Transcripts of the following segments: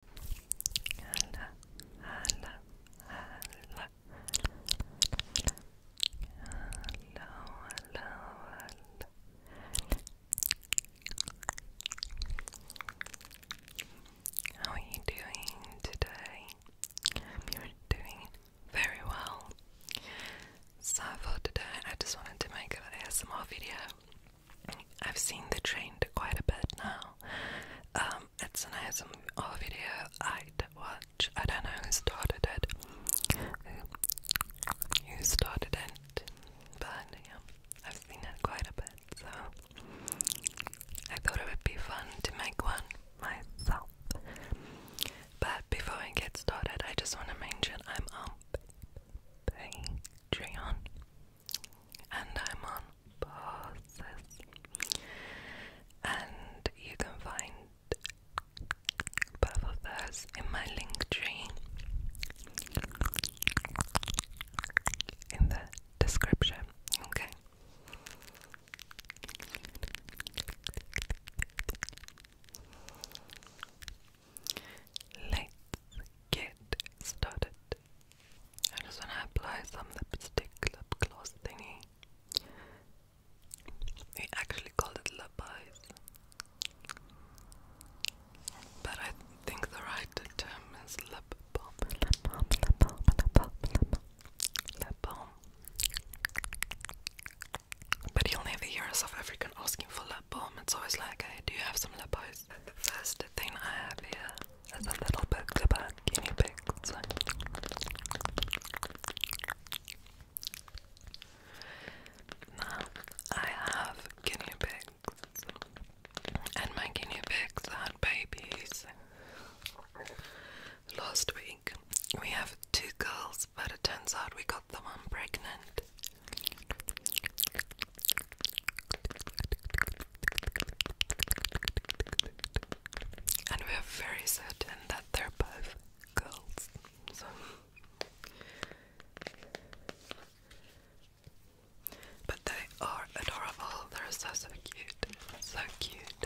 Hello, hello, hello. Hello, hello, How are you doing today? You're doing very well. So for today I just wanted to make an ASMR video. I've seen the train quite a bit now. Um, it's an ASMR video I'd watch. I don't know who started it. Who started it? But yeah, I've seen it quite a bit, so I thought it would be fun to make one myself. But before I get started, I just want to mention I'm on Patreon and I'm on Bosses. And you can find both of those in my link tree in the description. Okay. Let's get started. I just want to apply some lipstick lip gloss thingy. We actually called it lip eyes. But I think the right term is lip balm. Lip balm, lip balm, lip balm, lip balm. Lip balm. But you'll never hear South African asking for lip it's always like, hey, do you have some lip oils? The first thing I have here is a little bit about guinea pigs. I have guinea pigs, and my guinea pigs had babies last week. We have two girls, but it turns out we got the one pregnant. And we are very certain that they're both girls. So But they are adorable, they're so so cute. So cute.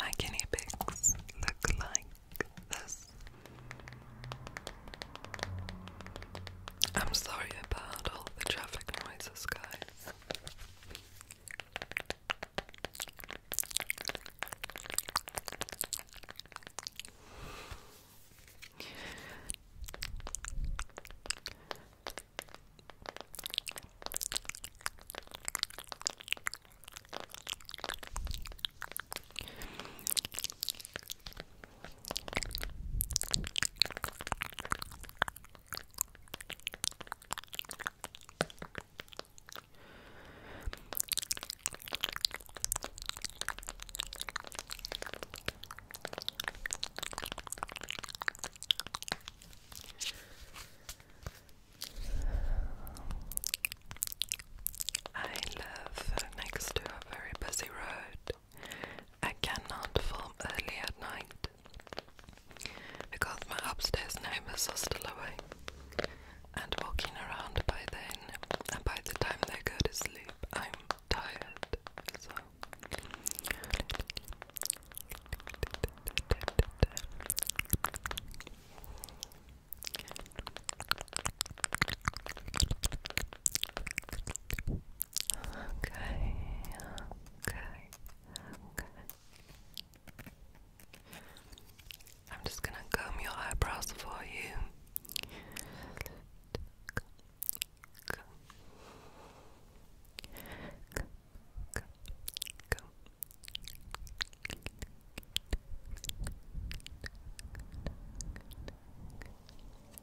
My guinea pigs look like this. I'm sorry about all the traffic noises, guys. I live next to a very busy road I cannot film early at night because my upstairs neighbors are still awake and walking around by then, and by the time they go to sleep, I'm tired. So. Okay, okay, okay. I'm just gonna comb your eyebrows for you.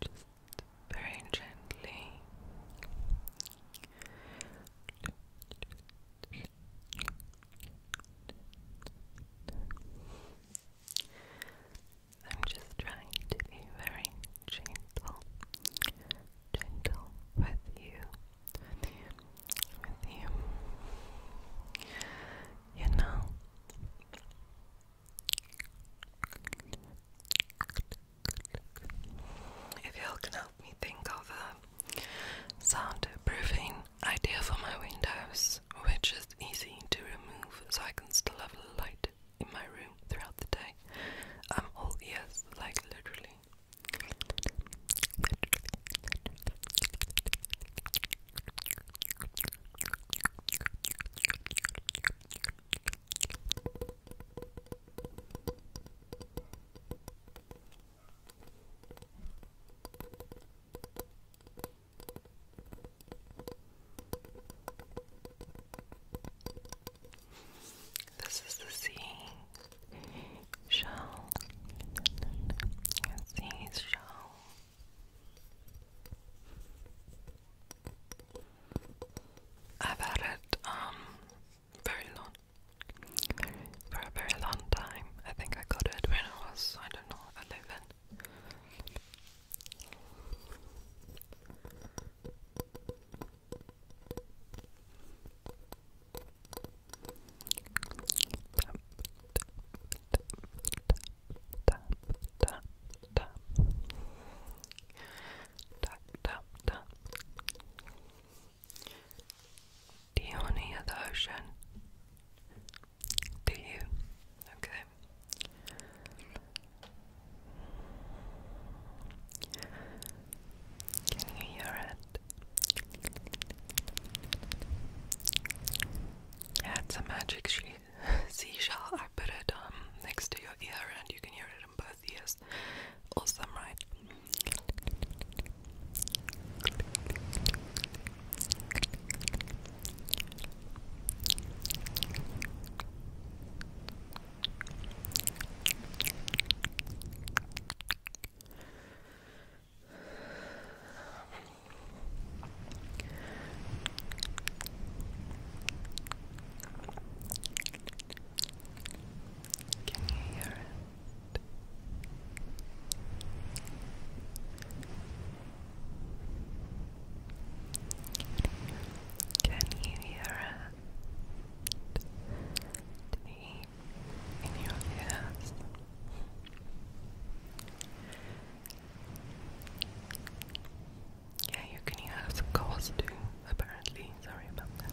Just very gently. I'm just trying to be very gentle gentle with you, with you, you. know. If you can help me think of a soundproofing idea for my windows, which is easy to remove so I can still have light in my room throughout the day. I'm um, all ears, like literally. This is the sea shell. Sea shell. I've had it um very long for a very long time. I think I got it when I was I don't know eleven tap, Do you want to hear the ocean? Do you? Okay. Can you hear it? it's a magic she seashell. I put it um next to your ear, and you can hear it in both ears. Awesome, right? Can you hear it? Can you hear it? Deep in your ears. Yeah, you can hear us, of course, too, apparently. Sorry about that.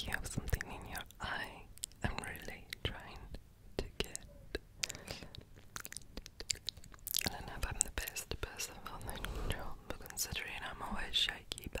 You have something in your eye. I'm really trying to get. I don't know if I'm the best person on the job, considering I'm always shaky, but.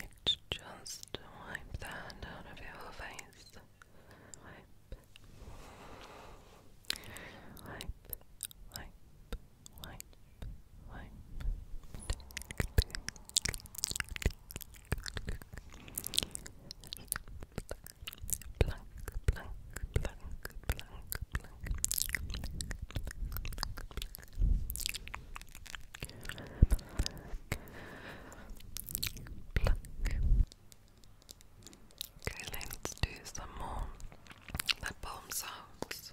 It's just wipe that out your face. Wipe, wipe, wipe, wipe, wipe. Okay, let's do some more lip balm sounds.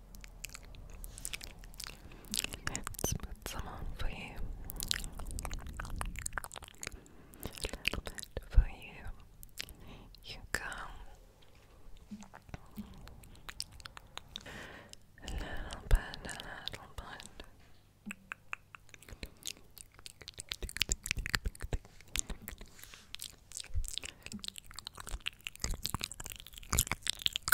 Let's put some on for you. for you. You go. A little bit, a little bit.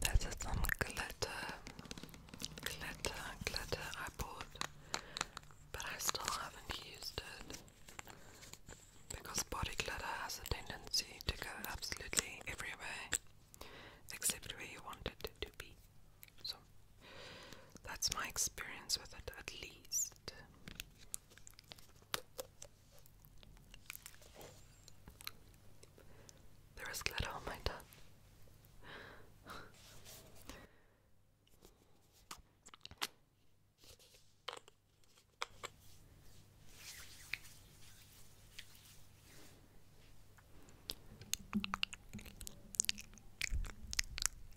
This some glitter, glitter, glitter I bought, but I still haven't used it because body glitter has a tendency to go absolutely everywhere except where you want it to be. So that's my experience with it, at least. There is glitter on my tongue.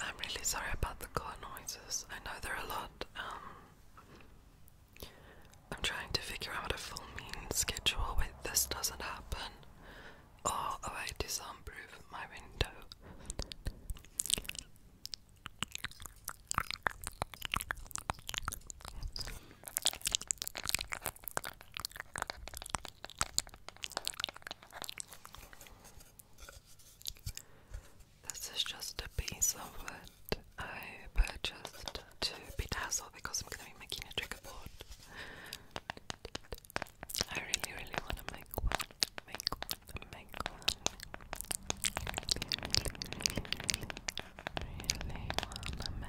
I'm really sorry about the car noises. I know there are a lot. Um, I'm trying to figure out a full mean schedule. Wait, this doesn't happen. Oh, oh I disownproof my window. This is just a piece of wood I purchased to be bedazzle because I'm going to be making a trigger board. I really, really want to make one really wanna make one.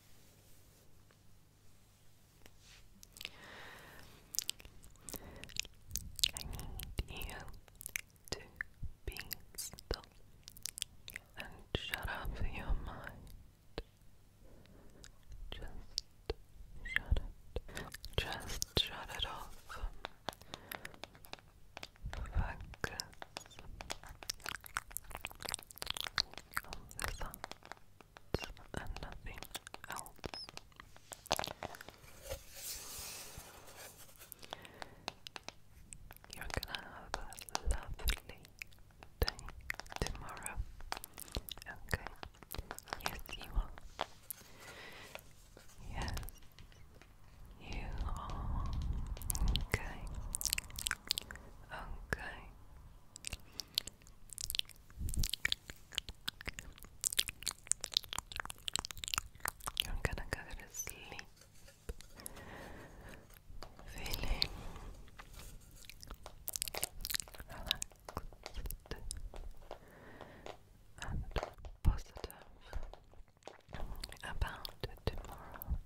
I need you to be still and shut off your mind. Just shut it. Just shut it off. Focus that and nothing else. You're gonna have a lovely day tomorrow. Okay. Yes, you are. Yes, you are. Okay. I'm gonna go to sleep. Feeling relaxed and positive about tomorrow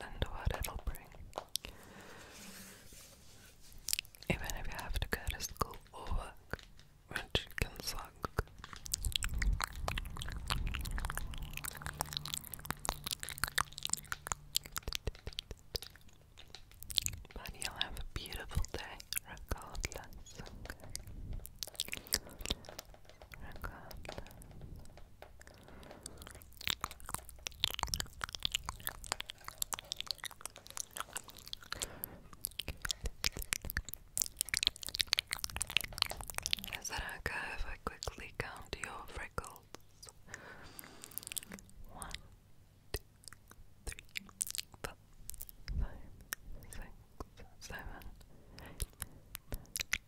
and what it'll bring. Even if you have to go to school or work, which can suck. But you'll have a beautiful day regardless. Regardless. Is that okay if I quickly count your freckles? One, two, three, four, five, six, seven, eight, nine,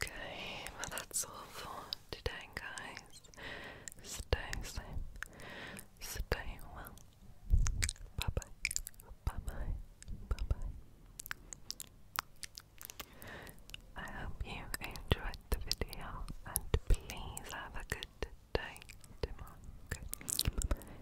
Okay, well, that's all for today, guys. Stay safe, stay well. Bye bye, bye bye, bye bye. I hope you enjoyed the video and please have a good day tomorrow.